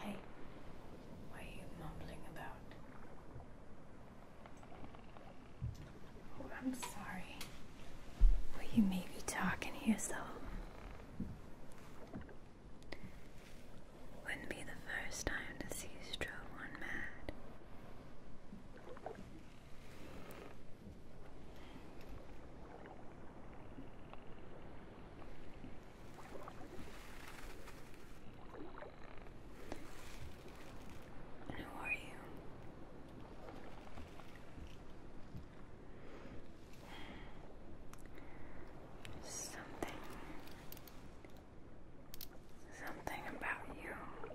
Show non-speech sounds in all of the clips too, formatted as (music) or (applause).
Hey, what are you mumbling about? Oh, I'm sorry. Will you maybe talk and hear so? Wouldn't be the first time to see you drove one mad. And who are you? Something. Something about you.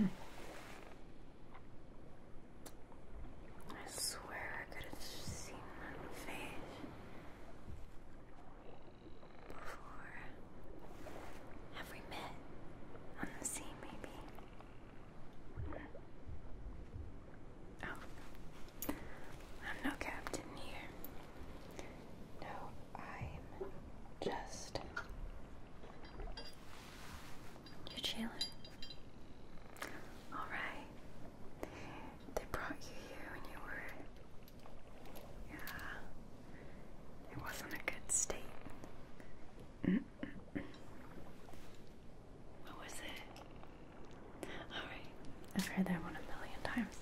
Hmm. I swear I could have seen that face before. Have we met on the sea, maybe? Oh, I'm no captain here. No, I'm just you're chilling. Alright. They brought you here when you were. Yeah. It wasn't a good state. What was it? Alright. I've heard that one a million times.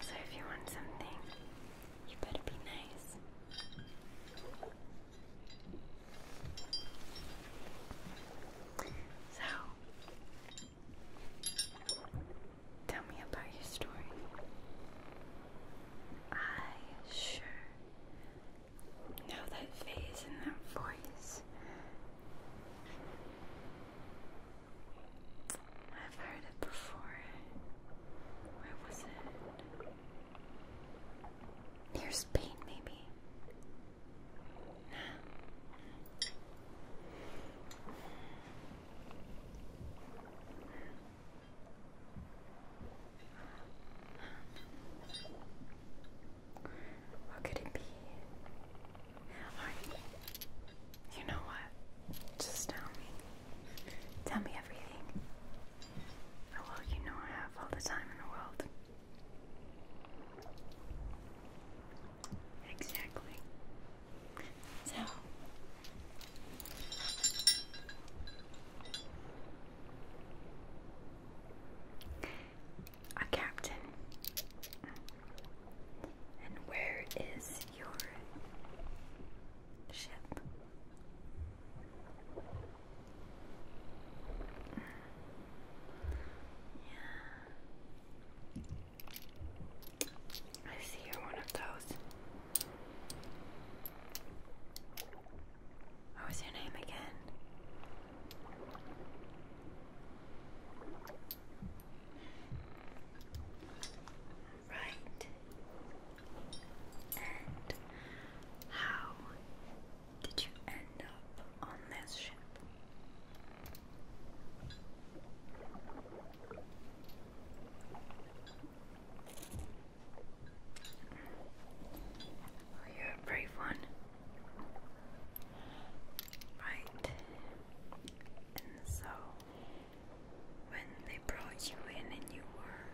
So, if you want something you better be nice. So, tell me about your story. I sure know that face and that voice. I've heard it before. Where was it? Near Spain, maybe. What could it be? Alright. You know what? Just tell me. Tell me everything. Oh, well, you know I have all the time in the world. Exactly. So, our captain. And where is your ship. Yeah. I see you're one of those. What was your name again? Right. And how did you end up on this ship? you're a brave one. Right. And so when they brought you in and you were.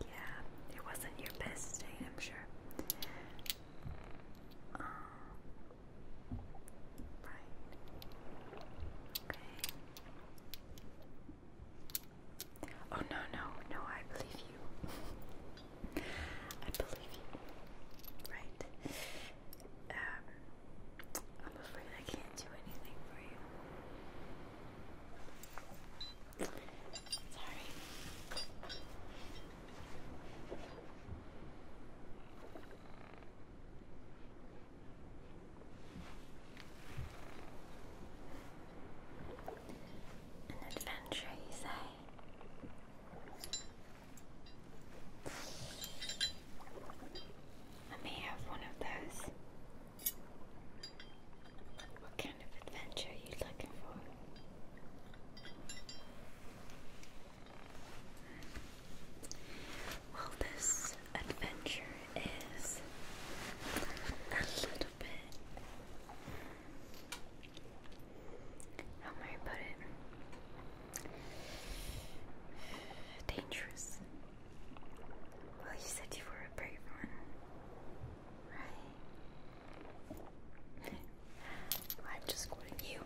Yeah, it wasn't your best day, I'm sure. Oh, right. Okay. Oh, no, no, no, I believe you. (laughs) I believe you. Right. Um, I'm afraid I can't do anything for you. Sorry. An adventure, you say? I may have one of those. What kind of adventure are you looking for? Well, this adventure is a little bit how may I put it? Dangerous. Well, you said you were a brave one, right? (laughs) I'm just quoting you.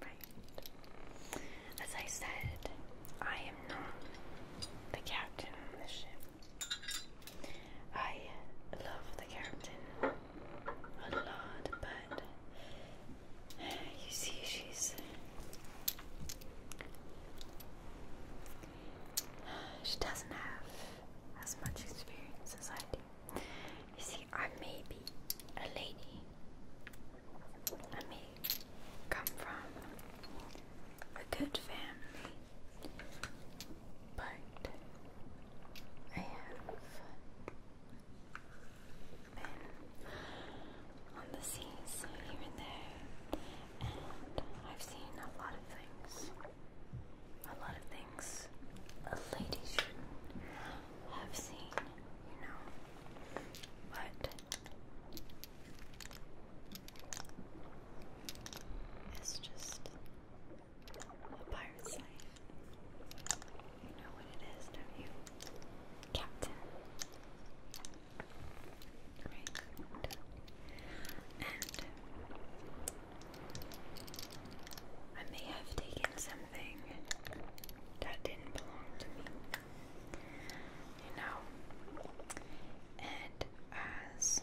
Right. As I said, I am not the captain of the ship. I love the captain a lot, but you see, she's she doesn't have as much experience as I You see, I may be a lady. I may come from a good family, but I have been on the seas here and there, and I've seen a lot of things. A lot of things a lady should have seen, you know. But it's just a pirate's life. You know what it is, don't you? Captain. Right. And I may have taken something that didn't belong to me, you know. And as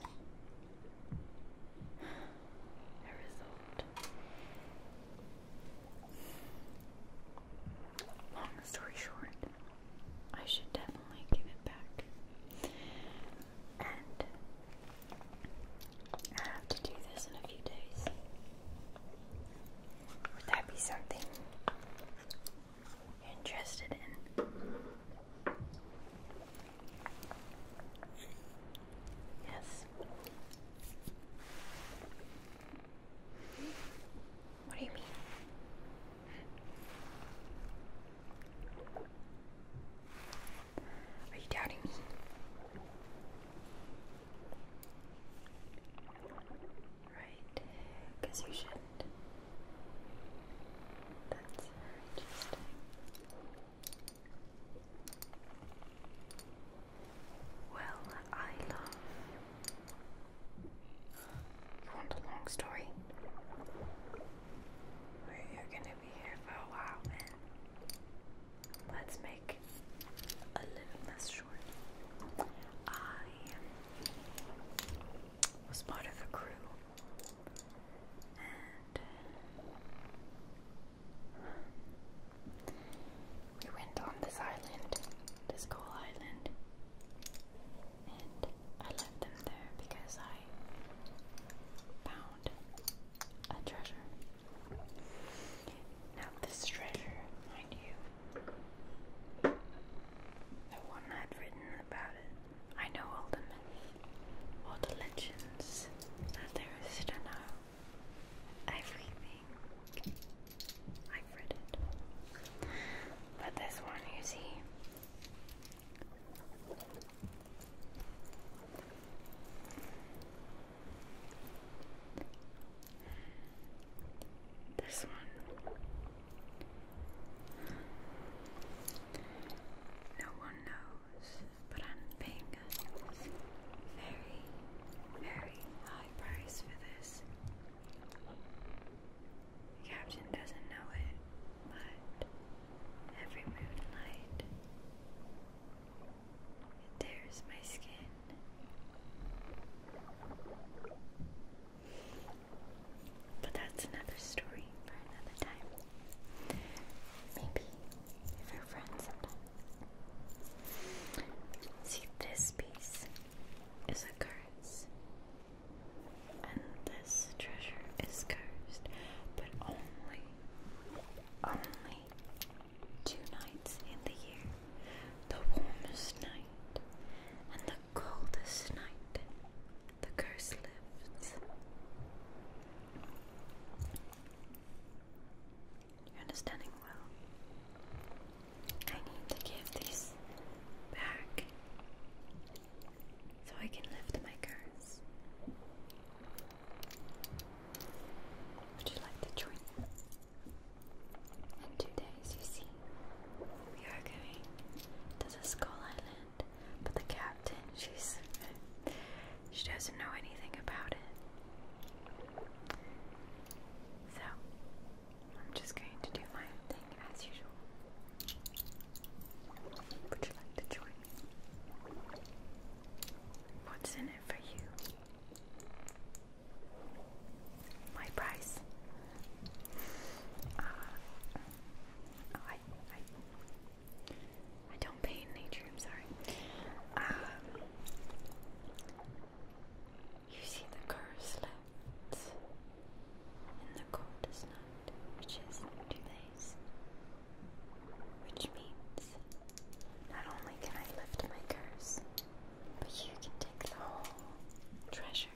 Long story short, I should definitely give it back. And to do this in a few days. Would that be something interested in? Yes. What do you mean? Are you doubting me? Right, because you shouldn't. That's interesting. Well, I You want a long story? We're gonna be here for a while, man. Let's make a little less short. I was part of the crew. And uh, we went on this island, this coal island, and I left them there because I found a treasure. Now, this treasure, mind you, no one had written about it. I know all the myths, all the legends that there is to know. Everything. i read it. But this one, you see. This one. No one knows but I'm paying a very, very high price for this. The captain doesn't know it, but every moonlight it tears my skin. But that's another story maybe for another friends sometime. See, this piece is a curse. And this treasure is cursed, but only, only two nights in the year. The warmest night and the coldest night the curse lifts. You're understanding well. I need to give these back so I can lift my curse. Would you like to join me? In two days, you see, we are going to the Skull Island but the captain, she's she doesn't know anything about it. So I'm just going to do my thing as usual. Would you like to join What's in it for you? My price. Uh, I, I I don't paint nature, I'm sorry. Um, you see the curse left in the coldest night, which is two Which means not only can I lift my curse, but you can take the whole treasure.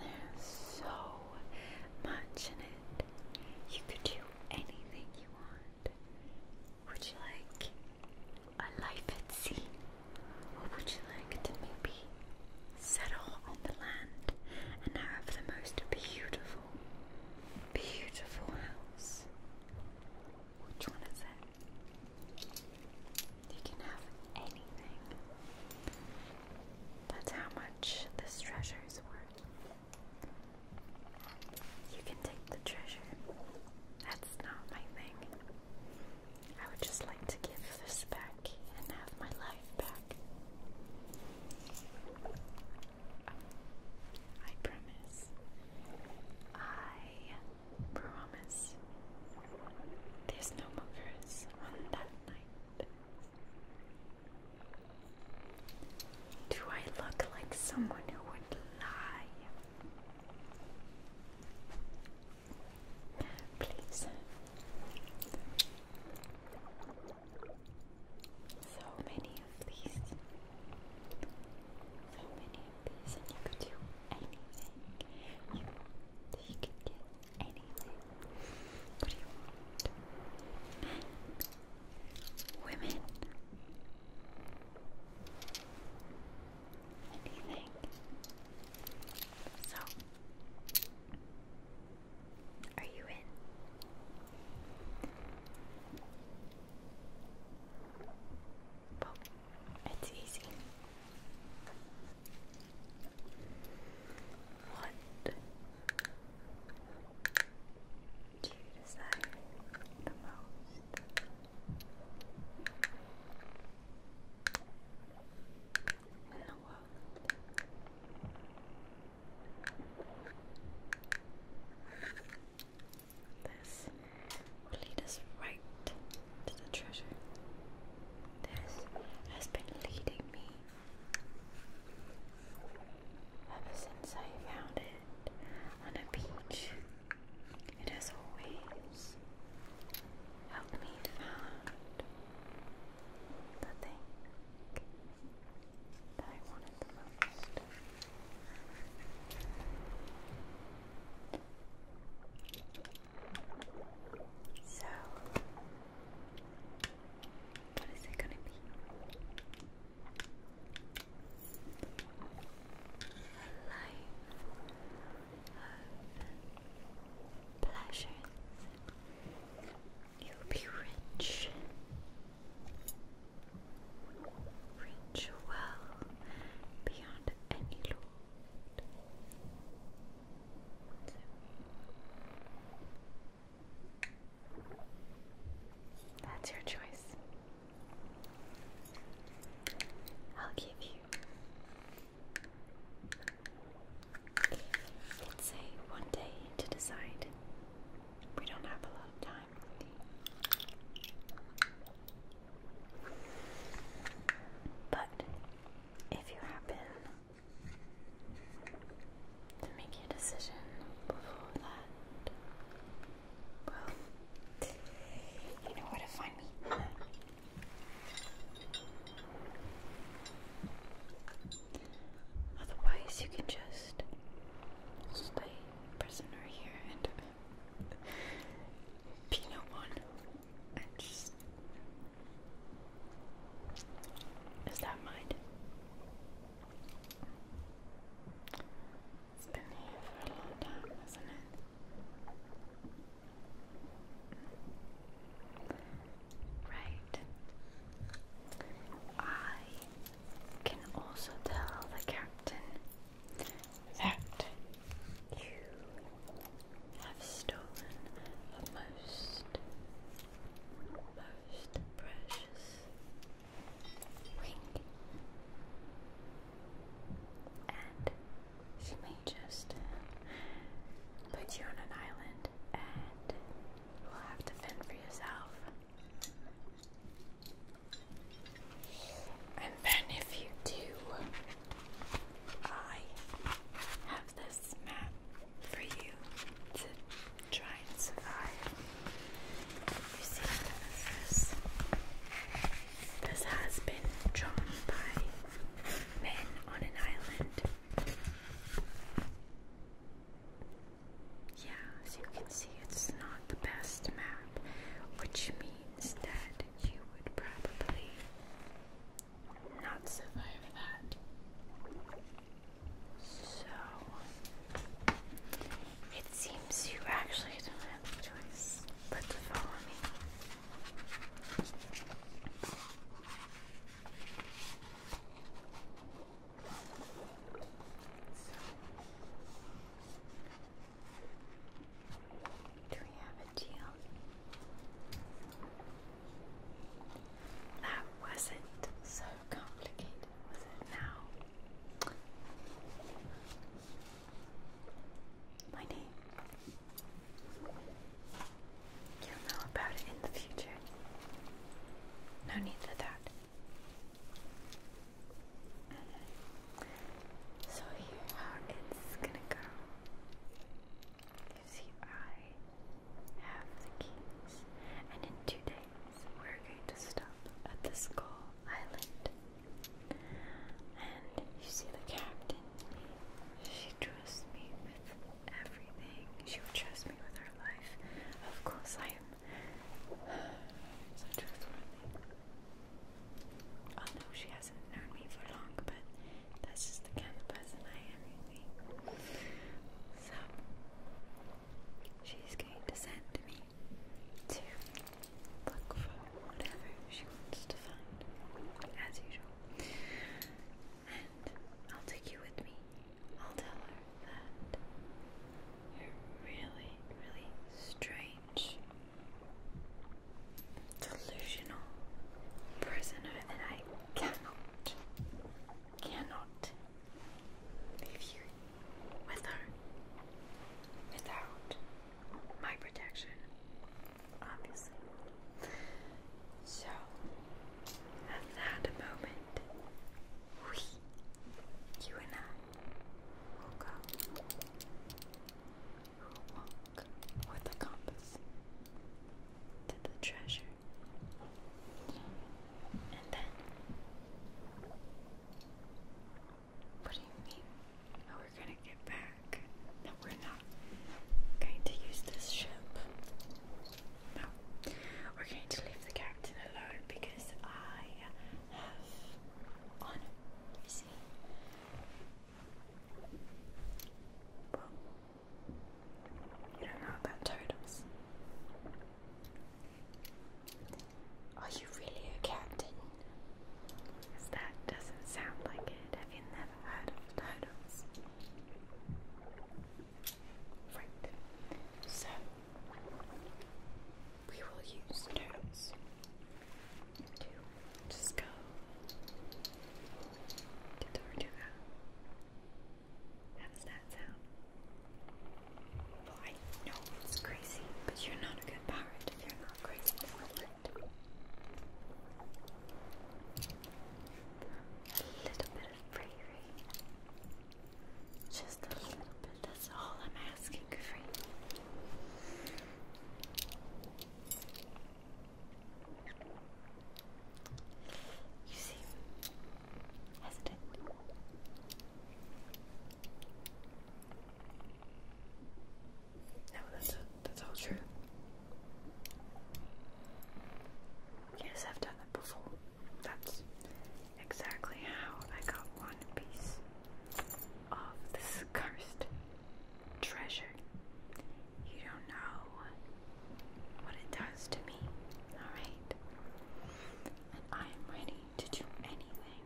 There's so much in it. You could do anything you want. Would you like a life at sea? Or would you like to maybe settle on the land and have the most beautiful, beautiful house? Which one is it? You can have anything. That's how much this treasure is you can take the treasure. That's not my thing. I would just like to give this back and have my life back. I promise. I promise. There's no movers on that night. Do I look like someone who would lie? Please. So many of these. So many of these, and you could do anything. You, you could get anything. What do you want? women. Anything. So, are you in? Well, it's easy. What to decide the most. In the world. This will us right to the treasure. This has been leading me ever since I found it on a beach. It has always helped me find the thing that I wanted the most. So, what is it gonna be? A life of pleasures. You'll be rich. Rich well beyond any lord. That's your choice. I'll give you. Let's one day to decide. We don't have a lot of time. But if you happen to make your decision before that. Well, you know where to find me. Otherwise, you can just stay prisoner here and be no one. And just. Is that mine? It's been here for a long time, hasn't it? Right. I can also tell the captain that you have stolen the most most precious and she may just um, put you on an island, and you'll have to fend for yourself. And then, if you do, I have this map for you to try and survive. You see, this, has been drawn by men on an island. Yeah, as you can see, it's not the best map, which means that you would probably not survive that. So it seems you actually don't have a choice but to follow me. do we have a deal? That wasn't so complicated, was it now? My name. You'll know about it in the future. No need for that. So here how it's gonna go. You see I have the keys, and in two days we're going to stop at the Skull Island. And you see the captain, she trusts me with everything. She would trust me with her life. Of course, I am so trustworthy. Although she hasn't known me for long, but that's just the kind of person I am, So, She's going to send me to look for whatever she wants to find, as usual. And I'll take you with me. I'll tell her that you're really, really strange, delusional prisoner, and I cannot cannot leave you with her without my protection, obviously. So, at that moment, we, you and I, will go. walk with a compass to the treasure and then, what do you mean? Oh, we're gonna get back. No, we're not going to use this ship. No, we're going to leave the captain alone because I have honor. You Well, you don't know about totems. Are you really a captain? Because that doesn't sound like it. Have you never heard of turtles? Right. So, we will use turtles to just go to Tortuga. That's does that sound? I know it's crazy, but you're not a good pirate if you're not crazy A little bit of bravery. Just a little bit, that's all I'm asking for You see, hesitant. No, that's that's all true. Yes, I've done that before. That's exactly how I got one piece of this cursed treasure. You don't know what it does to me, alright? and I am ready to do anything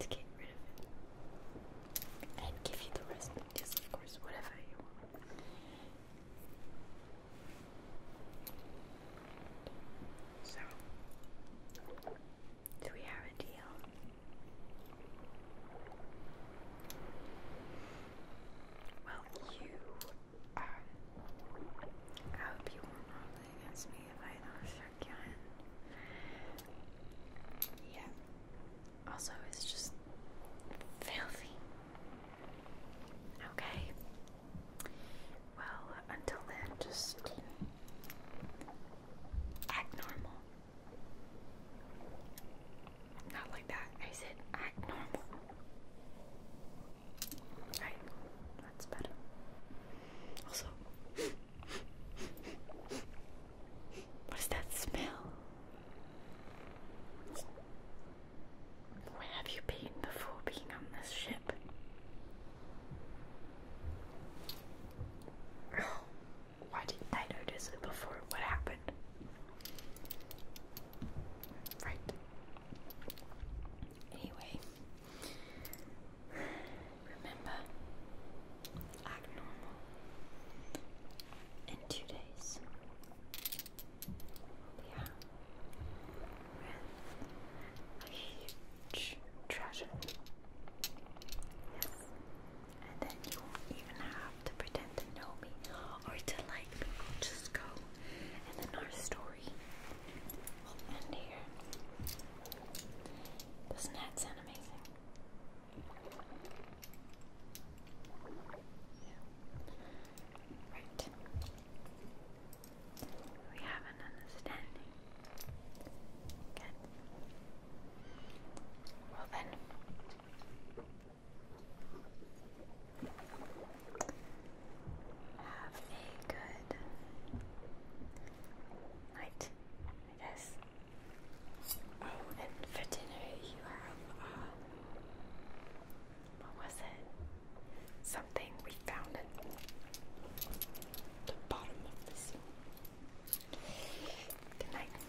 to get rid of it. And give you the rest, yes, of course, whatever you want. So, do we have a deal? Well, you I hope you won't hold against me if I don't shake your Yeah. Also, it's just filthy. Okay. Well, until then, just act normal. Not like that. I said act normal. Right, that's better. Also, what is that smell? Where have you been before being on this ship? Oh, why didn't I notice it before? What happened? Right. Anyway, Remember, act normal. In two days, we are a huge treasure. Yes, and then you won't even have to pretend to know me or to like me. Just go, and then our story We'll end here. Doesn't that sound amazing? Yeah. Right. We have an understanding. Good. Well then have a good night, I guess. Oh, and for dinner you have, uh, what was it? Something we found at the bottom of the sea. Good night.